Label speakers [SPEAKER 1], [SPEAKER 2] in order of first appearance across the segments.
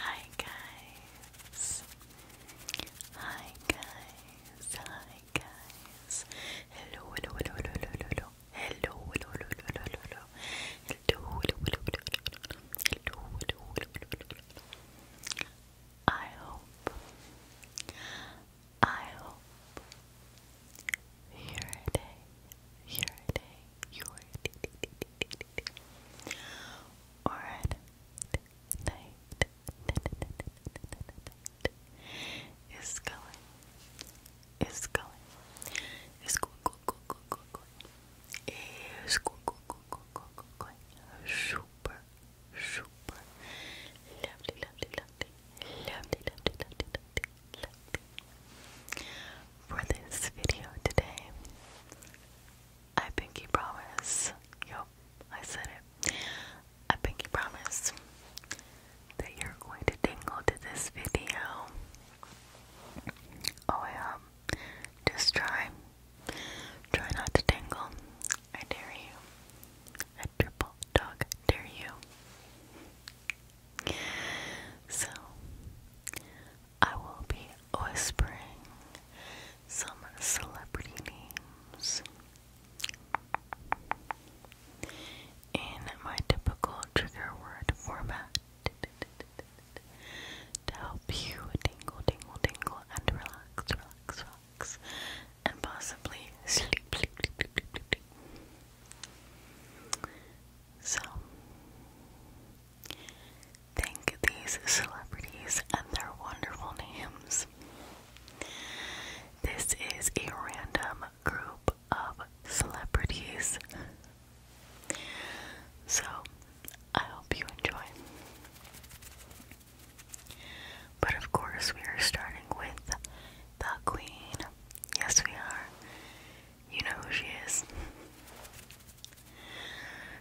[SPEAKER 1] Hi guys. Hi guys. Hi guys. Hello, hello, hello, hello, hello, hello. Hello, hello, hello, hello, I hope. I hope. Your day, your day, your day, or at night is going is going is going going going going going is going going going going going going super super lovely lovely lovely lovely lovely lovely lovely lovely for this video today I pinky promise. Yup, I said it. I pinky promise that you're going to tingle to this video. Oh yeah. Um, just try. Try not to tingle. I dare you. I triple dog dare you. So I will be whispering some celebrity names in my typical trigger word format to help you tingle, tingle, tingle, and relax, relax, relax, and possibly sleep, So, Thank these celebrities and their wonderful names. This is a random group of celebrities. So, I hope you enjoy. But of course, we are starting with the Queen. Yes, we are. You know who she is.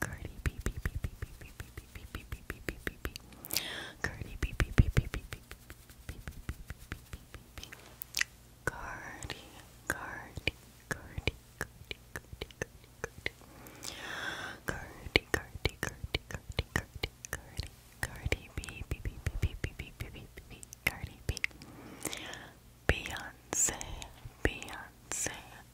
[SPEAKER 1] Cardi, Cardi B, B, B, B, B, B, B, B, B, B, B, B, B, B, Cardi B, B, B, B, B, B, B, B, Cardi, Cardi, Cardi, Cardi, Cardi, Cardi, Cardi, Cardi, Cardi, Cardi, Cardi, Cardi, Cardi B, B, B, B, B, B, B, B, B, Cardi B, Beyonce, Beyonce. Beyonce,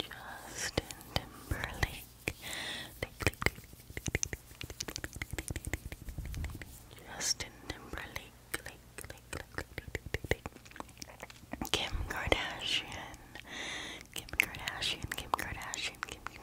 [SPEAKER 1] Justin Timberlake. Justin Timberlake, Lake, Lake, Lake, Lake, Lake. Kim Kardashian, Kim Kardashian, Kim Kardashian, Kim, Kim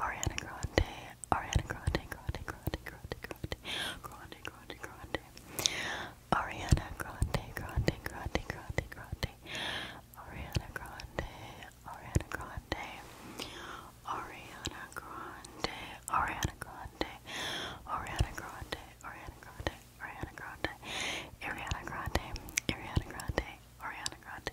[SPEAKER 1] Ariana Grande, Ariana Grande, Grande, Grande, Grande, Grande, Grande, Grande, Grande, Ariana Grande, Grande, Grande, Grande, Grande, Ariana Grande, Ariana Grande, Ariana Grande, Ariana Grande, Ariana Grande, Ariana Grande, Ariana Grande, Ariana Grande, Ariana Grande, Ariana Grande.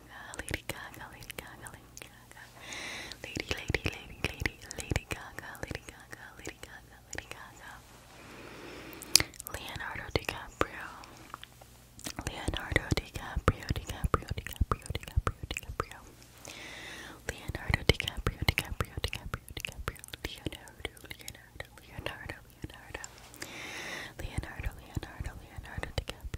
[SPEAKER 1] Gaga, Lady Gaga, Lady Gaga, Lady Gaga, Lady, Lady, Lady, Lady, Lady Gaga, Lady Gaga, Lady Gaga, Lady Gaga, Leonardo DiCaprio, Leonardo DiCaprio, DiCaprio, DiCaprio, DiCaprio, DiCaprio, Leonardo DiCaprio, DiCaprio, DiCaprio, DiCaprio, Leonardo, Leonardo, Leonardo, Leonardo, Leonardo, Leonardo, Leonardo DiCaprio.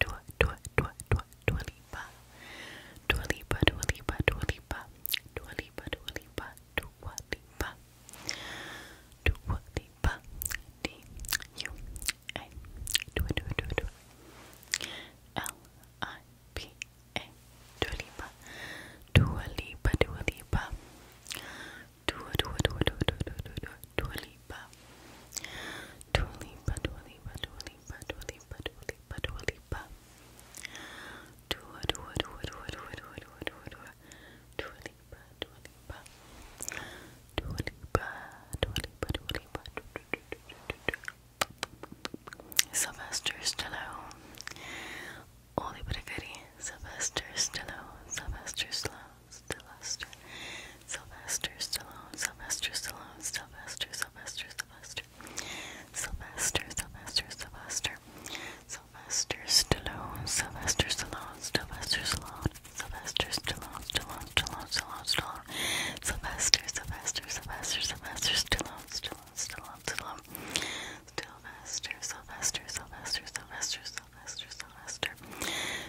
[SPEAKER 1] Dua, Dua, Dua, Dua, Dua Lipa. Dua Lipa, Dua Lipa, Dua Lipa. Dua Lipa, Dua Lipa, Dua Lipa. Dua Lipa. D U A. Dua, Dua, Dua, Dua. L I P A. Dua Lipa. Dua Lipa, Dua Lipa. Dua, Dua, Dua, Dua, Dua, Dua, Dua, Dua Lipa. Dua Lipa, Dua Lipa, Dua Lipa, Dua Lipa, Dua Lipa, Dua Lipa. Dua, Dua, Dua, Dua, Dua, Dua, Dua, Dua, Dua. Dua Lipa, Dua Lipa. Dua Lipa, Dua Lipa, Dua Lipa. Sylvester Stallone. Oli Brigari, Sylvester Stallone, Sylvester Stallone. Sylvester, Sylvester Stallone, Sylvester Stallone, Sylvester, Sylvester, Sylvester, Sylvester, Sylvester, Sylvester, Sylvester Stallone, Sylvester Stallone, Sylvester Stallone, Sylvester Stallone, Stallone, Stallone, Stallone, Stallone, Sylvester, Sylvester, Sylvester, Sylvester Stallone, Stallone, Stallone, Stallone, Sylvester, Sylvester, Sylvester, Sylvester, Sylvester, Sylvester, Sylvester.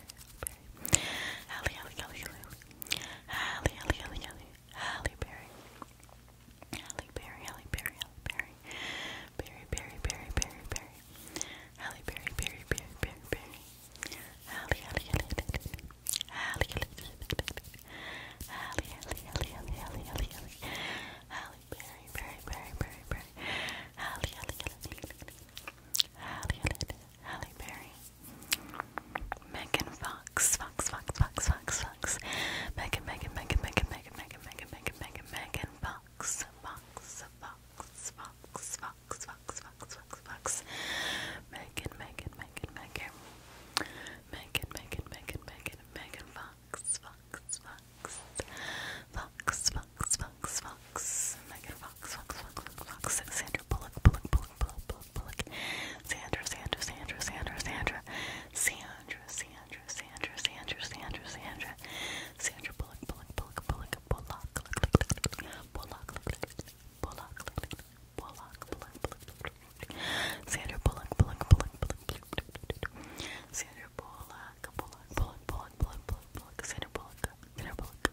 [SPEAKER 1] Berry. Halle, Halle, Halle, Halle, Halle, Berry. Halle Berry, Halle Berry, Halle Berry. Berry, Berry, Berry, Berry, Berry. Berry, Berry, Berry, Berry, Berry. Halle, Halle, Halle, Halle, Halle, Halle, Halle, Halle, Halle, Halle, Halle, Halle. Berry, Berry, Berry, Berry, Berry. Halle, Halle, Halle, Halle, Halle, Berry. Megan Fox, Fox, Fox, Fox, Fox, Fox, Megan, Megan, Megan, Megan, Megan, Megan, Megan, Megan, Megan, Megan Fox, Fox, Fox, Fox, Fox, Fox, Fox, Fox, Fox, Megan, Megan, Megan, Megan, Megan, Megan, Megan, Megan, Megan Fox, Fox, Fox, Fox, Fox, Fox, Fox, Megan Fox, Fox, Fox, Fox, Sandra Bullock, Bullock, Bullock, Bullock. Bullock, Sandra, Sandra, Sandra, Sandra, Sandra, Sandra, Sandra, Sandra, Sandra, Sandra, Sandra, Sandra Bullock, Bullock, Bullock, Bullock, Bullock, Bullock, Bullock, Bullock, Bullock, Sandra Bullock, Bullock, Bullock, Bullock, Sandra Bullock, Bullock, Bullock, Bullock, Bullock, Bullock, Sandra Bullock, Sandra Bullock,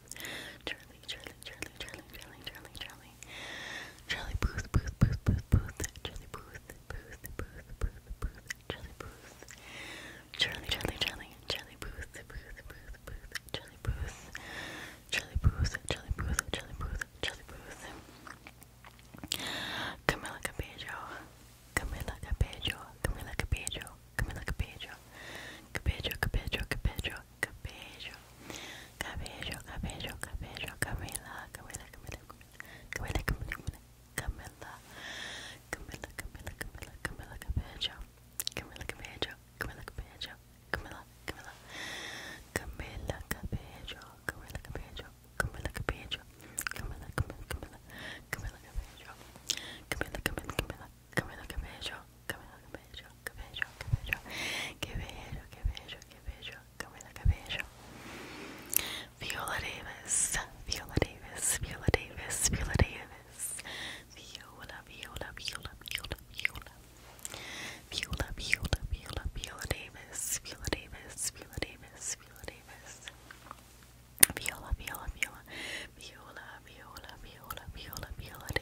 [SPEAKER 1] Charlie, Charlie, Charlie, Charlie, Charlie, Charlie, Charlie, Charlie Booth, Booth, Booth, Booth, Booth, Charlie Booth, Booth, Booth, Booth, Booth, Charlie Booth, Charlie, Charlie, Charlie, Charlie Booth, Booth, Booth, Booth, Charlie Booth, Charlie Booth, Charlie Booth, Charlie Booth, Charlie Booth, Camila Cabello, Camila Cabello, Camila Cabello. Camila Cabello, Cabello, Cabello, Cabello, Cabello, Cabello, Cabello, Cabello, Camila, Camila, Camila, Camila, Camila, Camila, Camila, Camila, Camila, Camila, Camila Cabello, Camila Cabello, Camila Cabello, Camila, Camila, Camila Cabello, Camila Cabello, Camila Cabello, Camila, Camila, Camila, Camila Cabello, Camila, Camila, Camila, que bello, que bello, que bello, que bello, que bello, que bello, que bello, que bello, que bello, que bello, que bello. Viola Davis, Viola Davis, Viola Davis, Viola Davis, Viola, Viola, Viola, Viola, Viola, Viola, Viola, Viola, Viola Davis, Viola Davis, Viola Davis, Viola Davis. Viola, Viola, Viola, Viola, Viola, Viola, Viola, Viola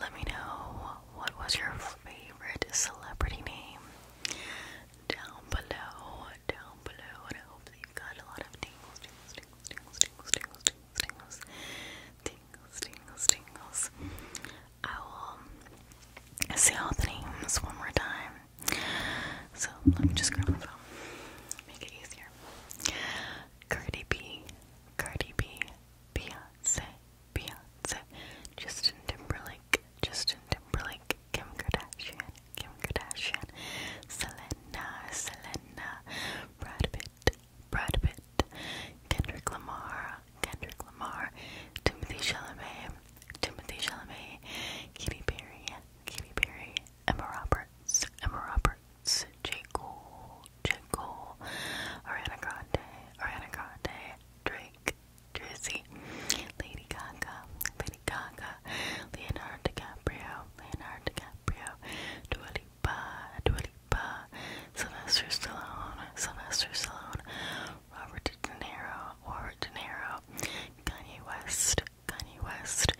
[SPEAKER 1] Let me know what was your favorite celebrity name down below, down below, I hope you got a lot of tingles, tingles, tingles, tingles, tingles, tingles, tingles, tingles, tingles. I will say all the names one more time. So let me just grab my phone. Make it easier. Cardi B, Cardi B, Beyonce, Beyonce, Justin Timberlake, Justin Timberlake, Kim Kardashian, Kim Kardashian, Selena, Selena, Brad Pitt, Brad Pitt, Kendrick Lamar, Kendrick Lamar, Timothy Chalamet, Timothy Chalamet, Katy Perry, Katy Perry, Emma Roberts, Emma Roberts, J. Cole, J. Cole, Ariana Grande, Ariana Grande, Drake, Drizzy, Lady Gaga, Lady Gaga, Leonardo DiCaprio, Leonardo DiCaprio, Dua Lipa, Dua Lipa, Sylvester Stallone, Sylvester Stallone, uh, Robert De Niro, Robert De Niro, Kanye West, Kanye West,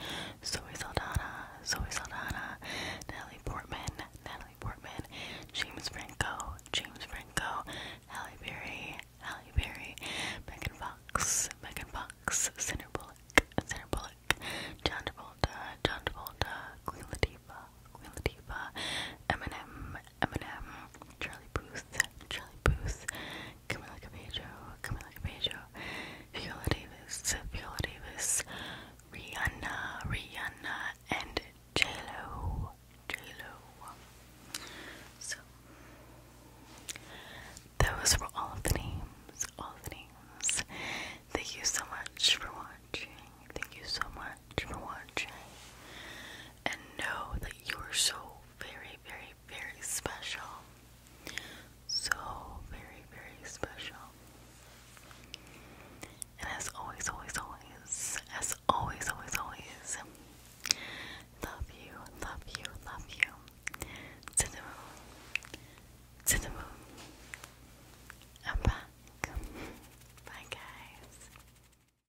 [SPEAKER 1] Zoe Saldana, Zoe Saldana, Natalie Portman, Natalie Portman, James Franco, James Franco, Halle Berry, Halle Berry, Megan Fox, Megan Fox, Sandra Bullock, Sandra Bullock, John Travolta, John Travolta, Queen Latifah, Queen Latifah, Eminem, Eminem, Charlie Puth, Charlie Puth, Camila Cabello, Camila Cabello, Viola Davis, Viola Davis, Rihanna, Rihanna, and J-Lo, J-Lo. So, those were all of the names, all the names. Thank you so much for watching. Thank you so much for watching and know that you are so very, very, very special. So very, very special. And as always, always, always, as always, always, always, love you, love you, love you. To the moon, to the moon. I'm back. Bye, guys.